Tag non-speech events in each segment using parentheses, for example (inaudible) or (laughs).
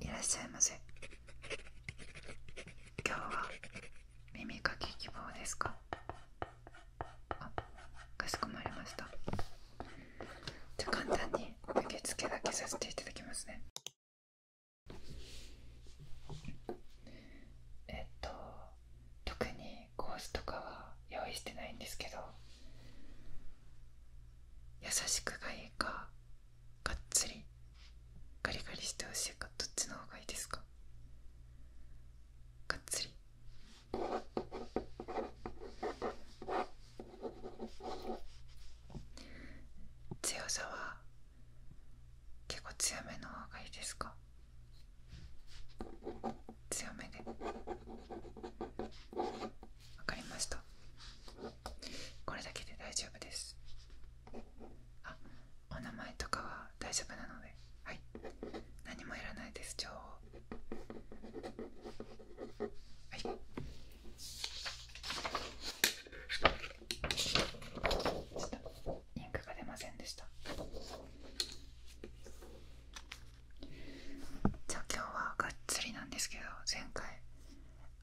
いらっしゃいませ今日は耳かき希望ですかあかしこまりましたじゃあ簡単に受付だけさせていただきますねえっと特にコースとかは用意してないんですけど優しくがいいかがっつりガリガリしてほしいかどっちのほうがいいですかがっつり強さは結構強めのほうがいいですか強めでわかりましたこれだけで大丈夫ですあお名前とかは大丈夫なのではい何もいらないです情報はいちょっとインクが出ませんでしたじゃあ今日はがっつりなんですけど前回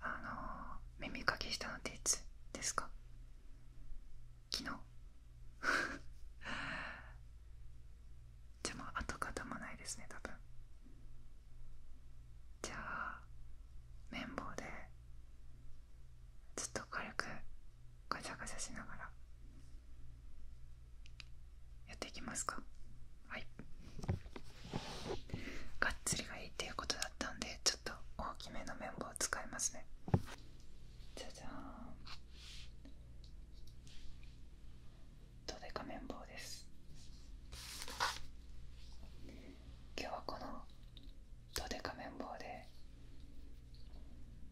あの耳かきしたのっていつですか昨日 (laughs) じゃあもう跡形もないですね多分じゃあ綿棒でずっと軽くガチャガチャしながらやっていきますかはいがっつりがいいっていうことだったんでちょっと大きめの綿棒を使いますねじゃじゃーんどでか綿棒です今日はこのどでか綿棒で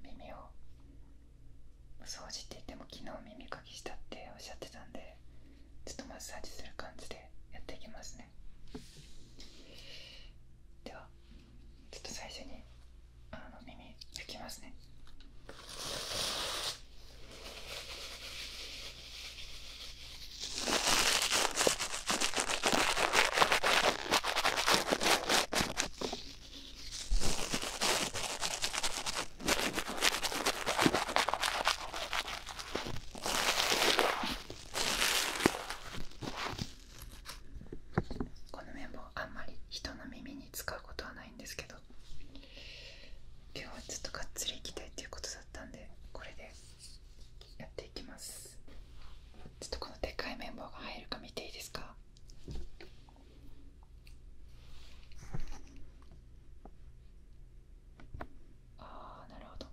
耳を掃除って言っても昨日耳かきしたっておっしゃってたんでちょっとマッサージする感じでやっていきますねではちょっと最初に耳拭きますねこの綿棒あんまり人の耳に使うことはないんですけど今日はちょっとがっつりいきたいっていうことだったんでこれでやっていきますちょっとこのでっかい綿棒が入るか見ていいですかああなるほど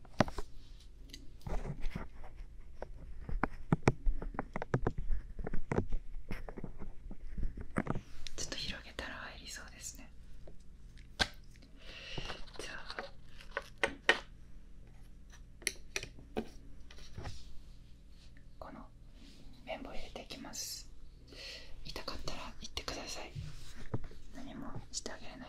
ちょっと広げたら入りそうですねじゃあこの綿棒入れていきます痛かったら言ってください何もしてあげれない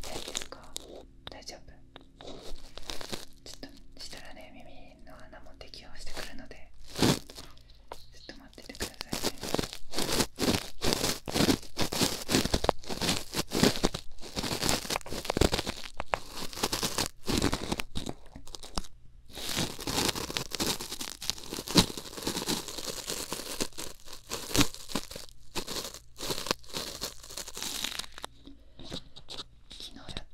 大丈夫か大丈夫ちょっとしたらね耳の穴も適応してくるのでちょっと待っててくださいね昨日やっ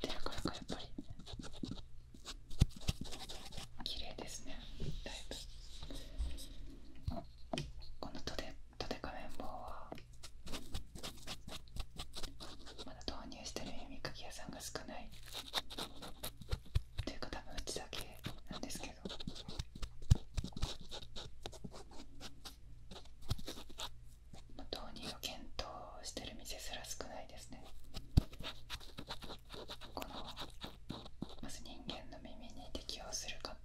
てるからかやっぱり綺麗ですねだいぶこのとでカメンボウはまだ導入してる耳かき屋さんが少ないというか多分うちだけなんですけど導入を検討してる店すら少ないですねこのまず人間の耳に適応するか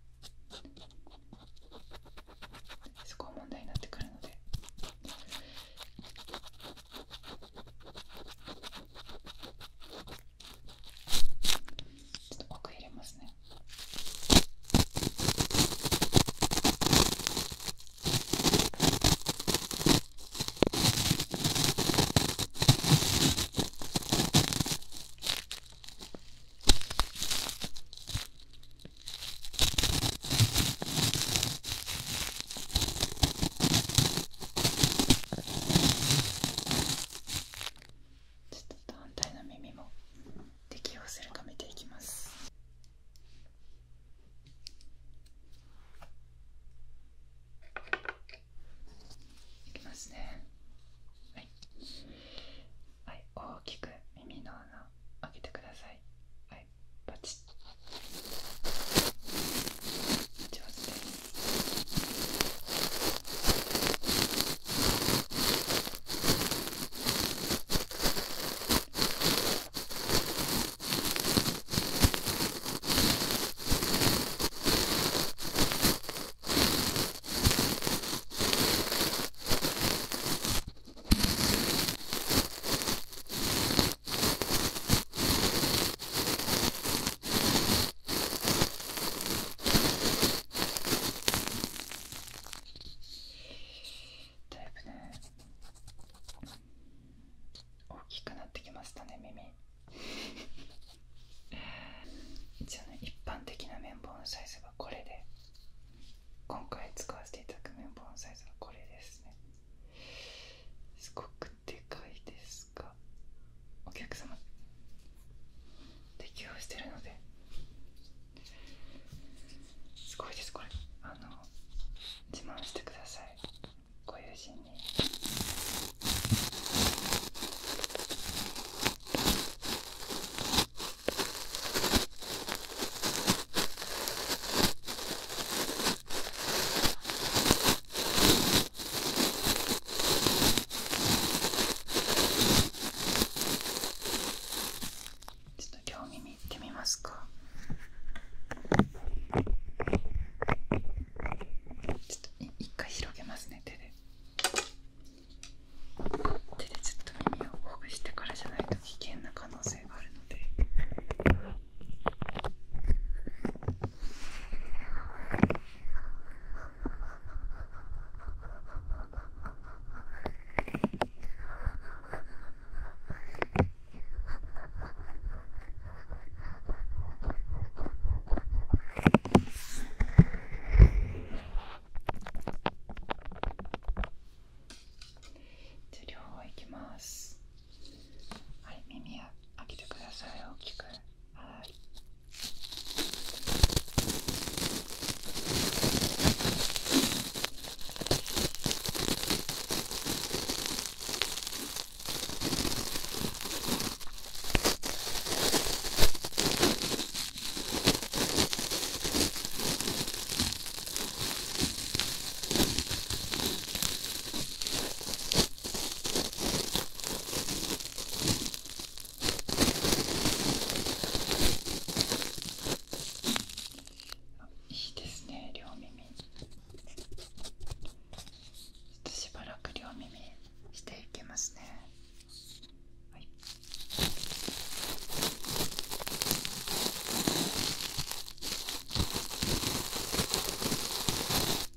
そこ問題になってくるのでちょっと奥入れますねちょっと反対の耳も適用するか見ていきます。いきますね。はい、はい、大きく耳の穴開けてください。はい、はいパチッ上手ですだいぶね大きくなってきましたね耳一応ね一般的な綿棒のサイズはこれで今回使わせていただく綿棒のサイズはこれですねすごくでかいですか、お客様適応してるのですごいですこれあの自慢してくださいご友人に。こちょっと両耳いってみますかちょっと一回広げますね手で手でちょっと耳をほぐしてからじゃないと危険な可能性があるので。じゃあ両方いきます。はい耳を開けてください大きくはい、いいですね両耳ちょっとしばらく両耳していきますねはい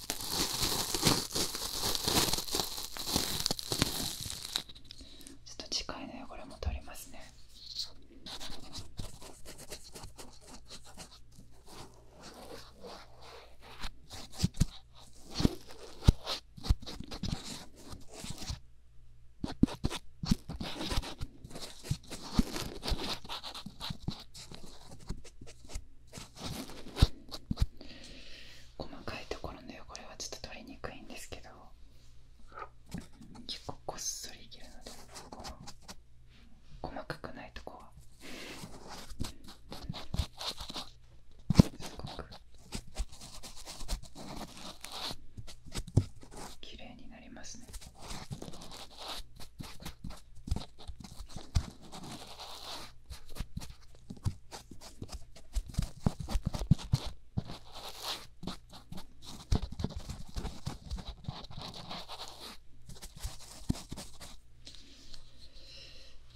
ちょっと近いね、これも取りますね。細かいところの汚れはちょっと取りにくいんですけど結構こっそりいけるのでこの細かくないとこはすごく綺麗になりますね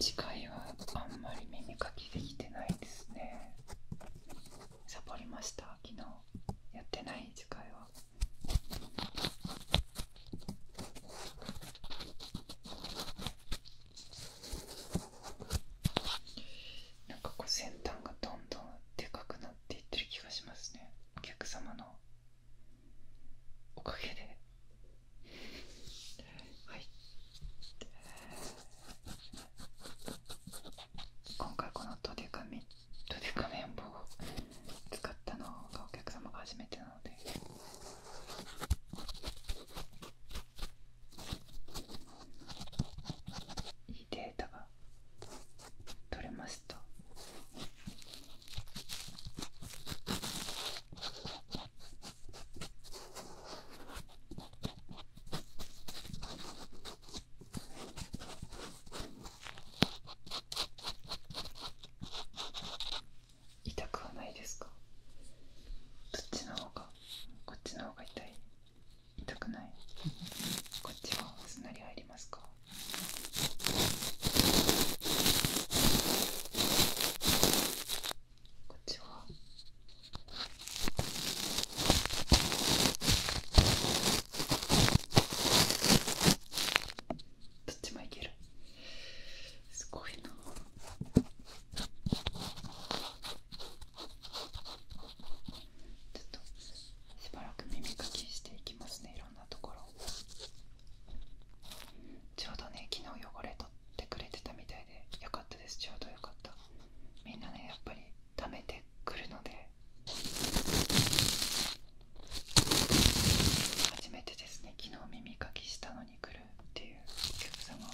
次回はあんまり耳かきできてないですねサボりました昨日やってない次回はは。なんかこう先端がどんどんでかくなっていってる気がしますねお客様のおかげではい今回このドデカめドデカめん棒を使ったのがお客様が初めてなのでいいデータが取れました痛くはないですかどっちの方がこっちの方が痛い痛くないこっちはすなり入りますかこっちはどっちもいけるすごいなちょっとしばらく耳かきしていきますねいろんなところちょうどね昨日汚れ取ってくれてたみたいでよかったですちょうどよかったみんなねやっぱりためてくるので初めてですね昨日耳かきしたのに来るっていうお客様は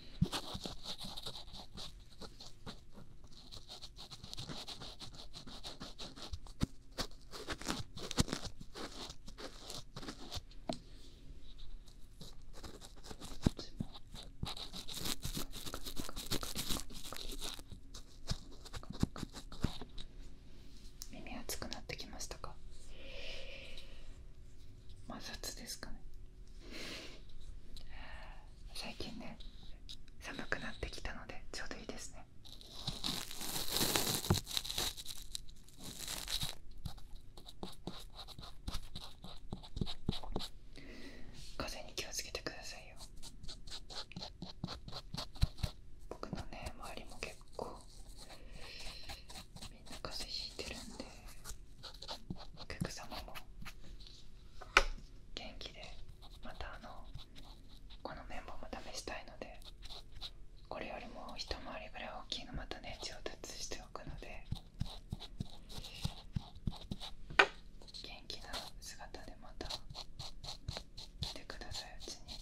耳熱くなってきましたか摩擦ですかね最近ね寒くなってきたのでちょうどいいですね風に気をつけてくださいよ僕のね周りも結構みんな風邪ひいてるんでお客様も元気でまたあのこの綿棒も試したいのでこれよりも一回りぐらい大きいのまたね上達しておくので元気な姿でまた来てくださいうちに。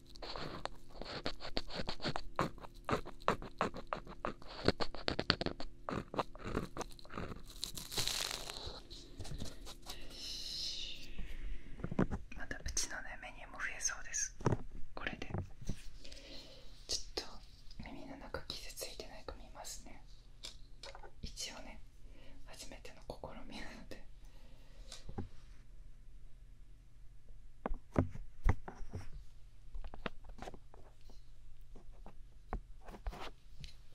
よし。またうちのねメニューも増えそうですこれでちょっと耳の中傷ついてないか見ますね一応ね初めての試みなので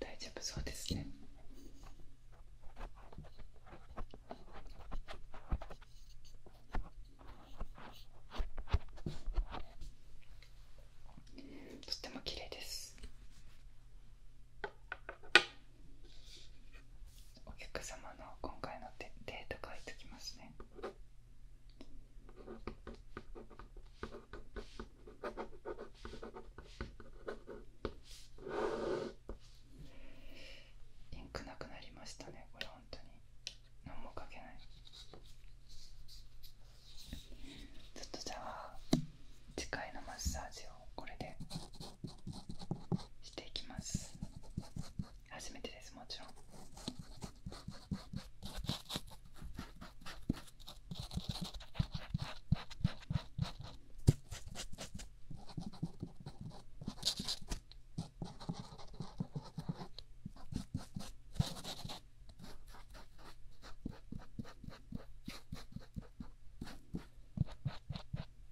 大丈夫そうですね。とってもきれいです。お客様の今回のデート書いておきますねインクなくなりましたねこれ本当に何も書けないちょっとじゃあ次回のマッサージをこれでしていきます初めてですもちろん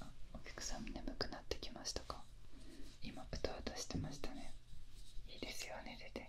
あお客さん眠くなってきましたか今うとを出してましたねいいですよ寝てて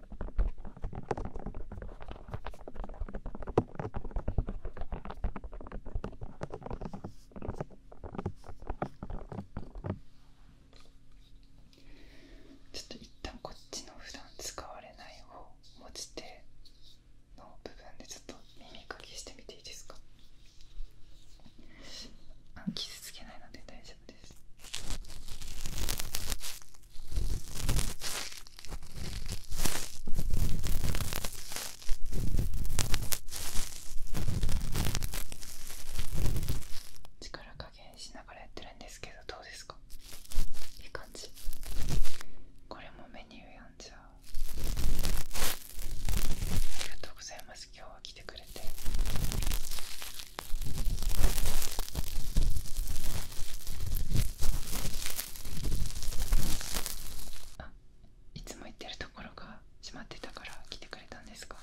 ちょっと一旦こっちの普段使われない方持ち手の部分でちょっと耳かきしてみていいですか傷つけないので大丈夫です力加減しながらやってるんですけどどうですかいい感じこれもメニューやんじゃありがとうございます今日は来てくれてあいつも行ってるところが閉まってたから来てくれたんですか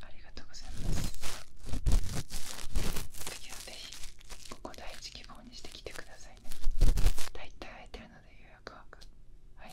ありがとうございます次はぜひここ第一希望にして来てくださいね大体空いてるので予約枠はい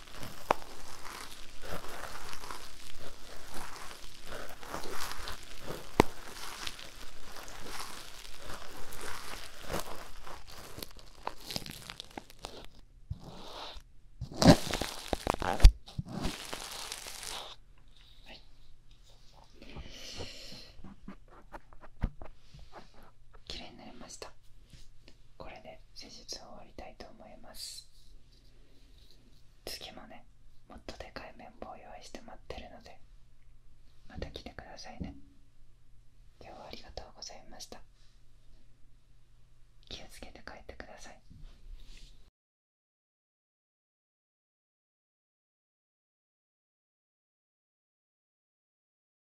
綺麗になりました。これで施術を終わりたいと思います次もねもっとでかい綿棒を用意して待ってるのでまた来てくださいね今日ありがとうございました気をつけて帰ってください